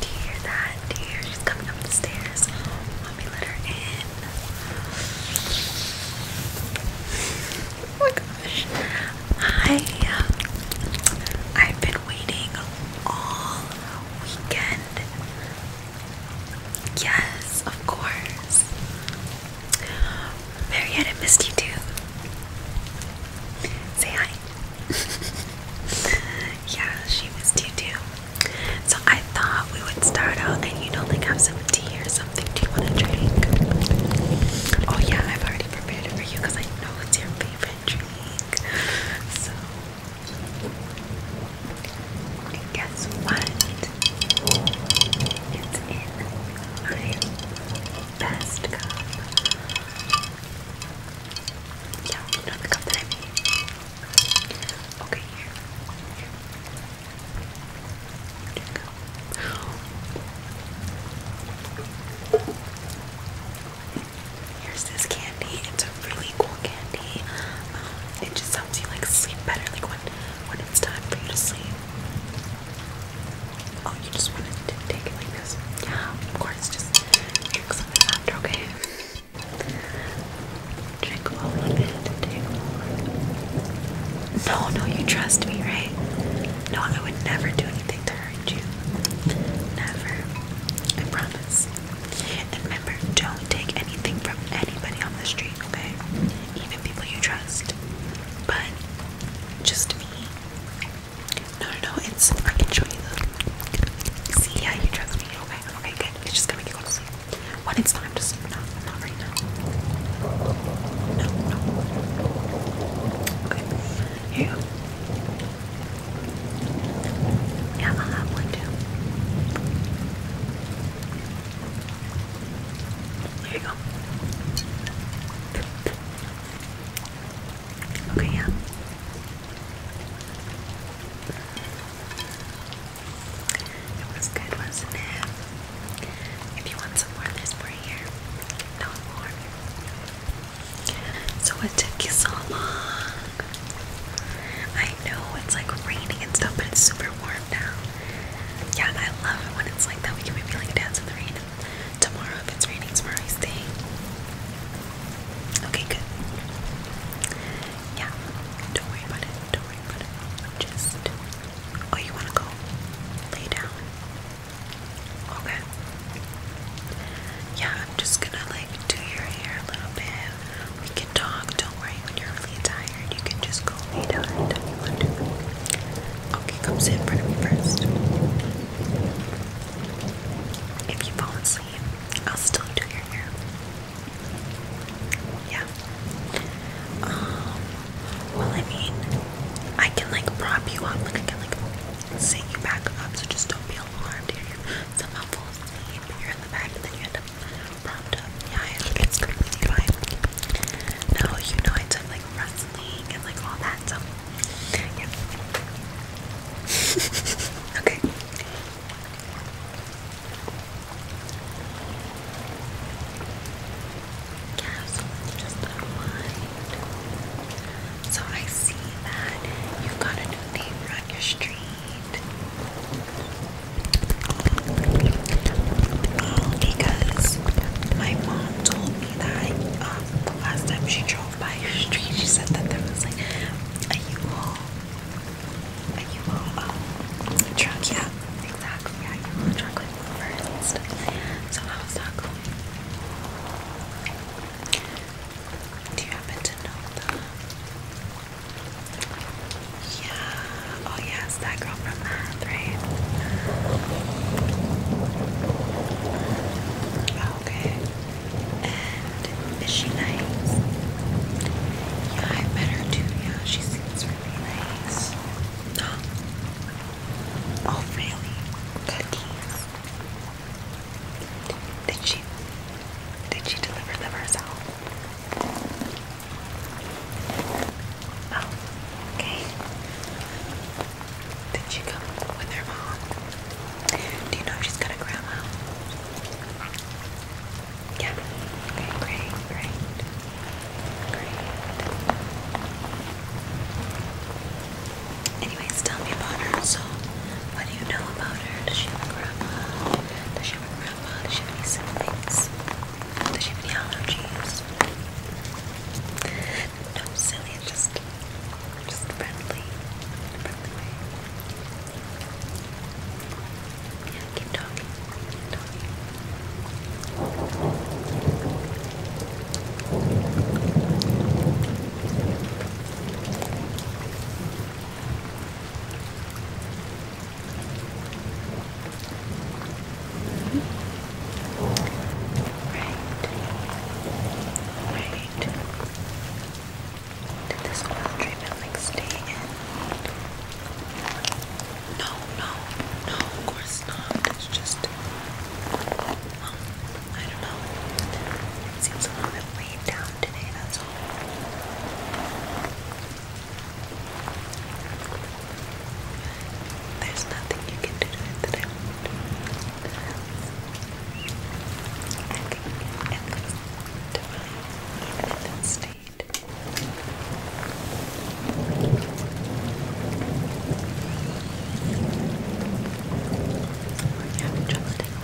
Do you hear that? Do you hear she's coming up the stairs? Let let her in. Oh my gosh. Hi. Um, I've been waiting all weekend. Yes, of course. Marietta missed you too. Say hi. yeah, she missed you too. So I thought we would start out and you know like have some tea or something. Do you want to drink? Oh yeah, I've already prepared it for you because I know it's your favorite drink. So and guess what? It's in my best cup. Yeah, you know the cup that I made. Okay, here. Here. There go. Here's this candy. It's a really cool candy. Um, it just helps you like sleep better, like when when it's time for you to sleep. Oh, you just wanted to take it like this? Yeah, of course. Just drink some after, okay? Drink all of it. Take all No, no, you trust me, right? No, I would never do anything to hurt you. Never. I promise. And remember, don't take anything from anybody on the street, okay? Even people you trust. But just me. No, no, no, it's I can show you see yeah, you trust me, okay? Okay, good. It's just gonna make you go to sleep. When it's time to sleep, not right now. No, no. Okay. Here yeah, i have one too. There you go. Okay, yeah. It was good, wasn't it? If you want some more of this, here. No more. So it took you so long. I know it's like raining and stuff, but it's super warm now. Yeah, I love it when it's like that. We can maybe like dance in the rain tomorrow if it's raining tomorrow. stay. Okay, good. Yeah, don't worry about it. Don't worry about it. Just oh, you wanna go lay down? Okay. Yeah, I'm just gonna like do your hair a little bit. We can talk, don't worry when you're really tired. You can just go lay down anytime you want to. Okay, come sit in front of me first. If you fall asleep, I'll still do your hair. Yeah. Um, well, I mean, I can like prop you up, like I can like sit you back up, so just don't be alarmed here somehow fall asleep, you're in the back, and then you end up propped up. Yeah, it's completely fine. No, you know I took like wrestling and like all that So, yeah. okay. So I see that you got a new neighbor on your street. Because my mom told me that um, last time she drove by your street, she said that there was like a U-Haul, a U-Haul um, truck. Yeah, exactly. Yeah, U-Haul truck like movers So how's that going? Do you happen to know them? Yeah. Oh yeah, it's that girl from math, right? Oh, okay. And is she nice? Yeah, I met her too. Yeah, she seems really nice. Oh, really? Cookies. Did she did she deliver them herself? Oh, okay. Did she come with her mom? Do you know if she's got grandma? Yeah. great, great. Great. Anyways, tell me about her. So, what do you know about her? Does she have a Does she have a Does she have any siblings? Does she have any allergies? No, silly, just, just friendly. Friendly Yeah, keep talking. Keep talking. Right. Did this oil treatment like stay in? No, no, no, of course not. It's just um, I don't know. It seems a little bit weighed down today, that's all. There's nothing you can do to it that I won't do. I think it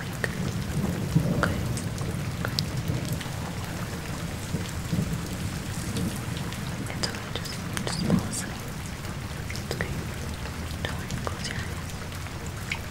it's good. It's okay, just, just fall asleep. It's okay. Don't close your eyes. The weight.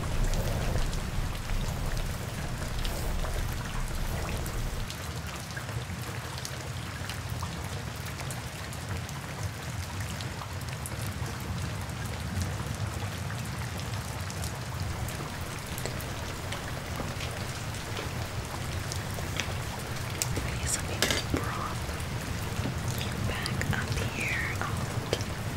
Please let me just prop you back up here out.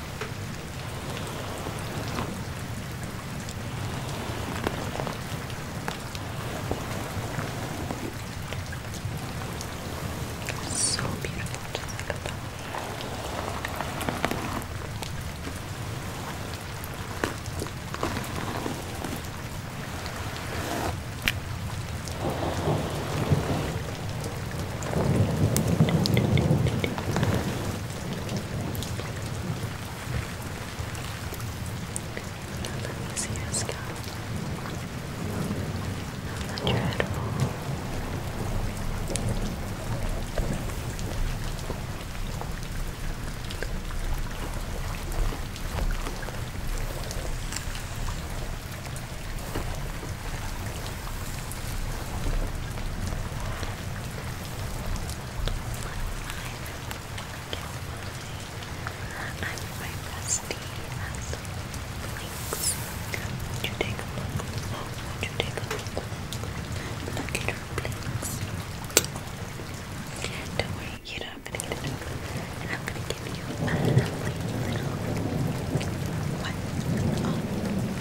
So beautiful to look upon. Let me see your scalp. Let your head roll. Let I'm my bestie has links. Would you take a look? Oh, would you take a look? Look at her blinks. Don't worry, you know I'm gonna get it over. And I'm gonna give you a lovely little what? Oh,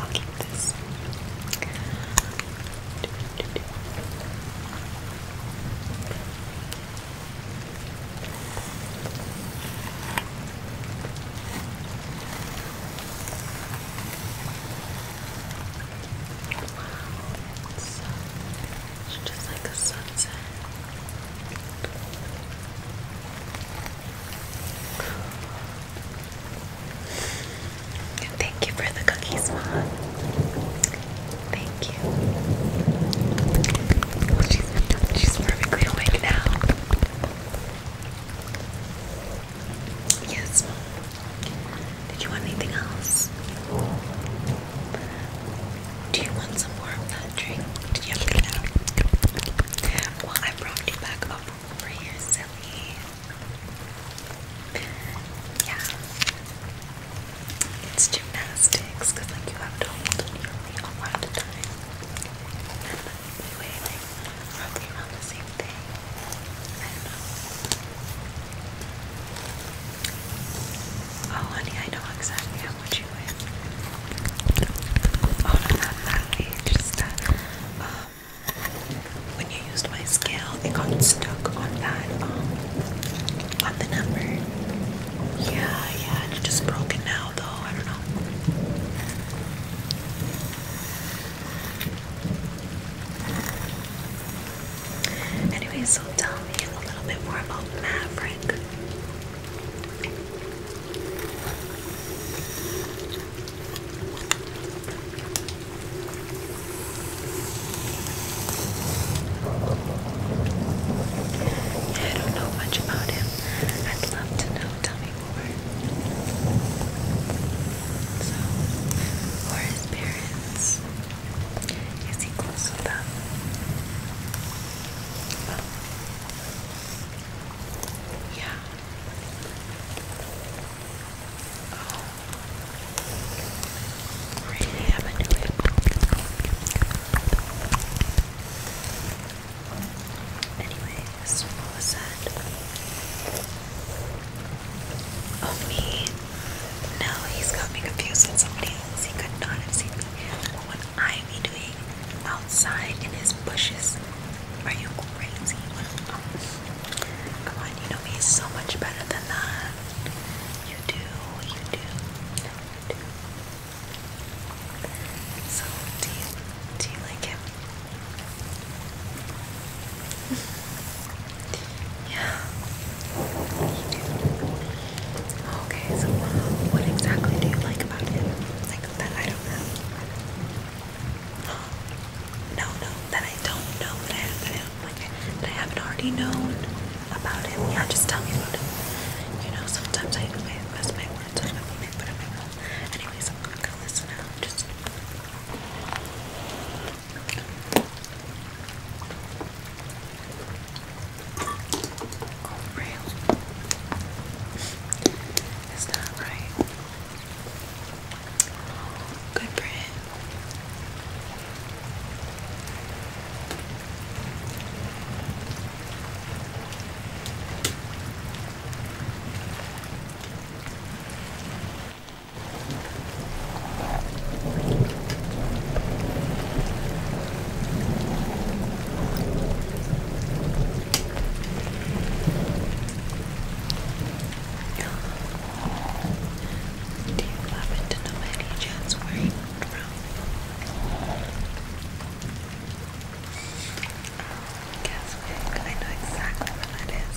I'll keep this. Wow, it's just like a sunset. Thank you for the cookies, Mom. Thank you. she's, she's perfectly awake now. Yes, did you want anything else? Do you want some more of that drink? Did you have a Well, I brought you back over here, silly. Yeah. It's gymnastics, because like you have to hold nearly a lot of time. And we weigh like roughly around the same thing. Oh, honey, I know exactly how much you win. Oh, no, not that page. It's that. Um, when you used my scale, it got stuck on that, um, on the number. Yeah, yeah, it's just broken now, though. I don't know. Anyway, so tell me a little bit more about Maverick. I don't know much about him. I'd love to know. Tell me more. So, who his parents? Is he close with that? Yeah. Oh. Really haven't do it. Anyways, what was that? Oh, me. No, he's got me confused with somebody else. He could not have seen me. What I be doing outside in his bushes? Are you crazy? Come on, you know me so much better than that. you do, you do. So, do you, do you like him? Yeah. Okay, so uh, what exactly do you like about him? Like that I don't know. No, no, that I don't know. That I, haven't already known about him. Yeah, just tell me about him. You know, sometimes I I invest my words on him, but I'm not. listen out. Just. It's not right. Good print. Do you happen to know by any chance where he moved from? Guess I know exactly where that is.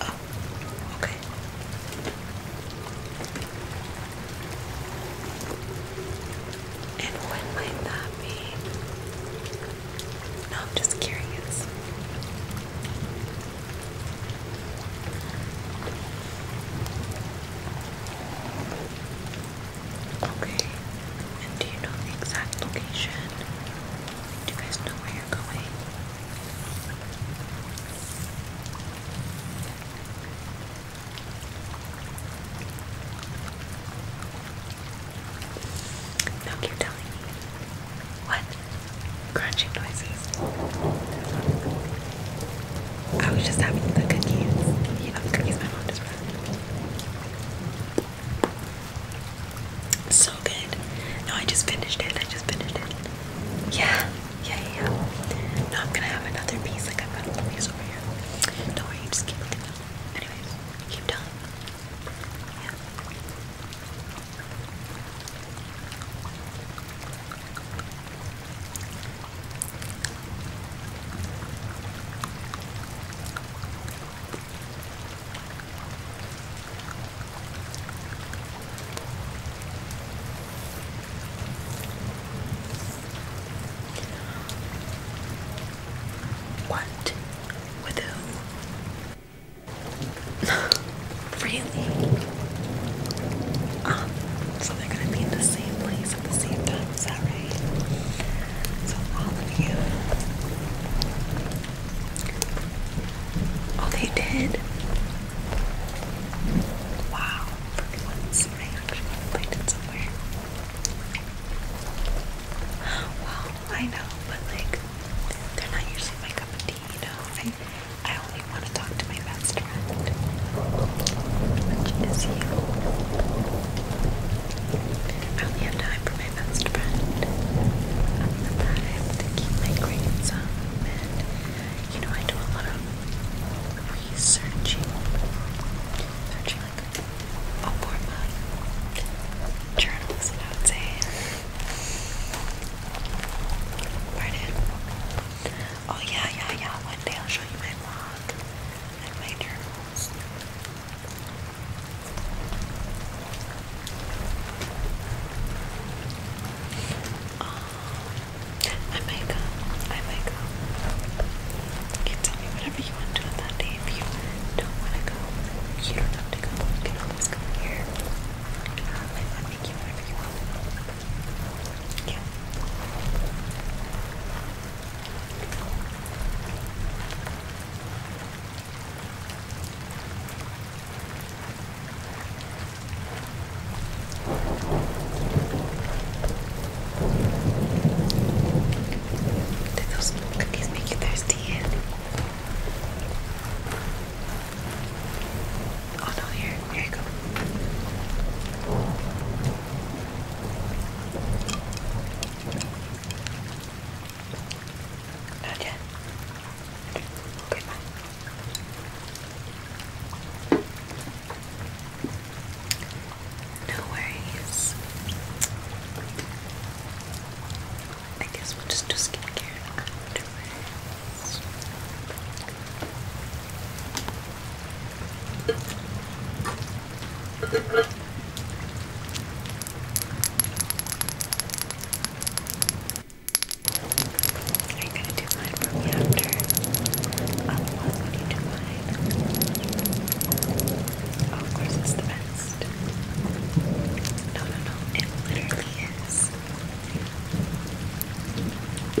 Oh, okay. And when might that be? I'm just curious. Okay. And do you know the exact location? Do you guys know where you're going? No, keep telling me. What? Crunching noises. I was just having the cookies. You know, the cookies my mom just so good. No, I just finished it. I just finished it. Yeah, yeah, yeah. No, I'm gonna have another piece. Like I've got another piece over here. Don't worry, just keep looking Anyways, keep telling. Yeah. What? With who? really? Um, so they're gonna be in the same place at the same time, is that right? So all of you Oh, they did? Wow, for once I actually it somewhere. Well, I know, but like, they're not usually my cup you know? I, I only want to talk to my best friend, which is you. I only have time for my best friend. I'm the pride to keep my grades up, and you know I do a lot of researching, like a form of journalism, I would say. Pardon. Oh yeah, yeah, yeah. One day I'll show you my vlog and my journals. Um, I might go. I might go. You can tell me whatever you want to that day. If you don't want to go, you don't have to go. You can always come here. Um, I might make you whatever you want. Did those cookies make you thirsty? Oh no, here, here you go. Not yet. No worries. I guess we'll just do skincare afterwards. Are you gonna do mine for me after? I'll love when you do mine. Oh, of course, it's the best. No, no, no, it literally is. I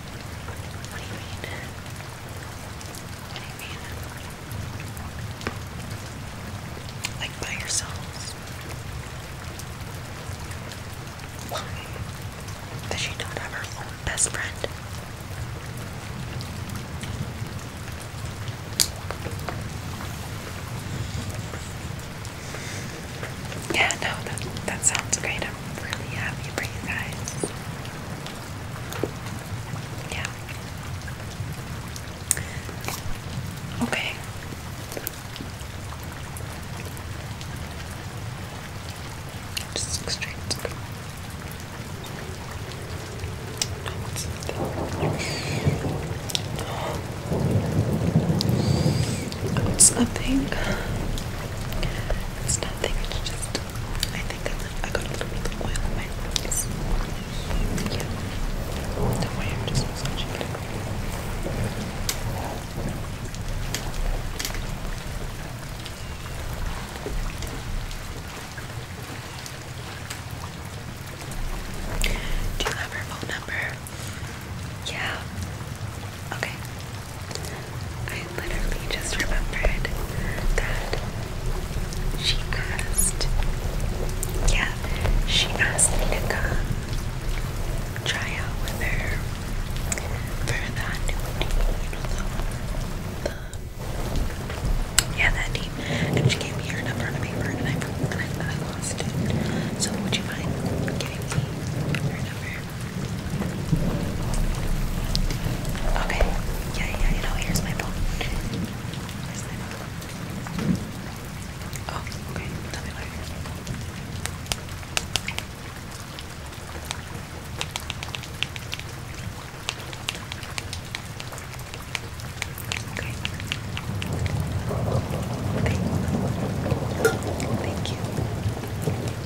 What do you mean? What do you mean? Like by yourselves? Why? Does she not have her own best friend? Yeah, no, that, that sounds great. I'm really happy for you guys. Yeah. Okay. Just look it's nothing. It's nothing. It's just I think I, I got a little oil in my face. Don't worry, I'm just massaging it. Do you have her phone number? Yeah. Okay. I literally just remembered that she asked, yeah, she asked me to come try out with her for the yeah, that team. And she gave me her number on a paper and I, and I lost it. So would you mind giving me her number? Okay. Yeah, yeah, you know, here's my phone. Where's my phone? Oh, okay. Tell me later. Okay. Thank, thank you.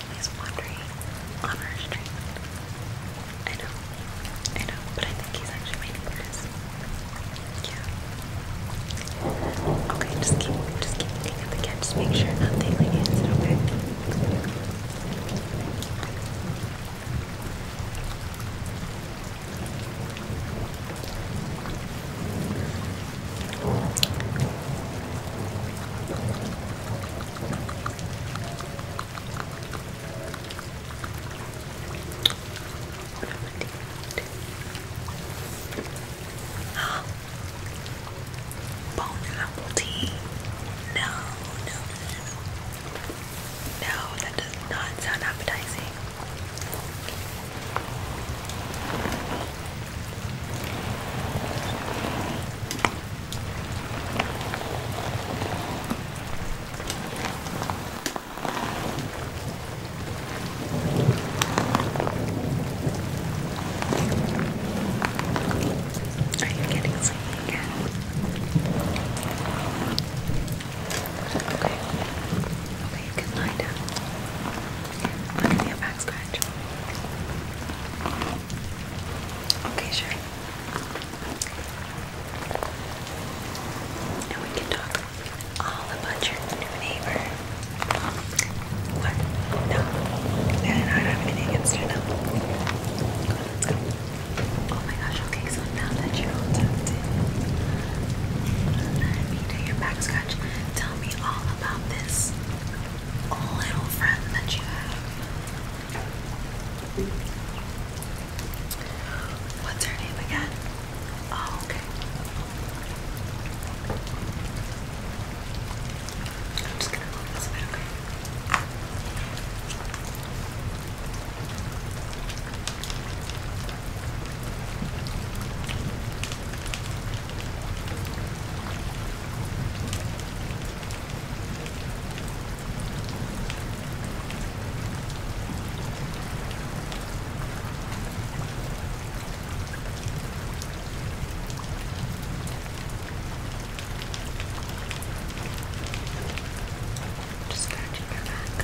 He's wandering on our street. I know, I know, but I think he's actually waiting for Yeah. Okay, just keep, just keep looking at the cat. Just make sure nothing like it. Is Okay, Oh. Bone apple tea? No, no, no, no. that does not sound appetizing. Are you getting sleepy again? Okay. Okay, you can lie down. I'm gonna be a back scratch. Okay. Okay, sure. Now we can talk all about your new neighbor. What? No. I don't have anything against her, no. let's go. Oh my gosh, okay, so now that you're all tucked in, let me do your back scratch. Tell me all about this little friend that you have. What's her name again? Oh, okay. I'm just gonna move this just scratching your back.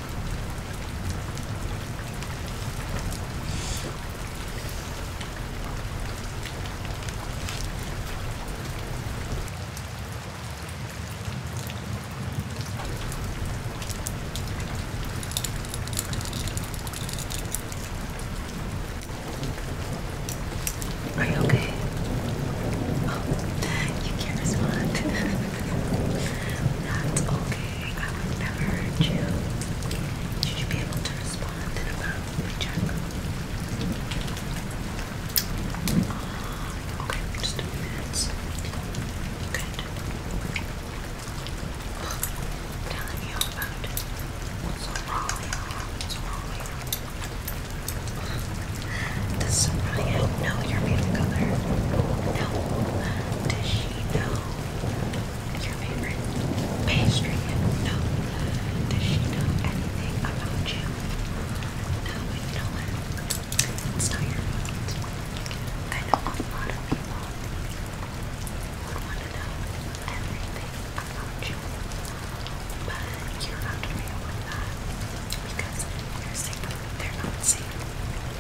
Are you okay? Oh, you can't respond. That's okay. I would never hurt you. Should you be able to respond in about we okay, just a few minutes. Good. Telling you about what's wrong. What's wrong? Does Soraya know your favorite color? No. Does she know your favorite pastry? No. Does she know anything about you? No, but you know what? It's not your fault. I know a lot of people would want to know everything about you, but you're not real with that because they're safe. They're not safe.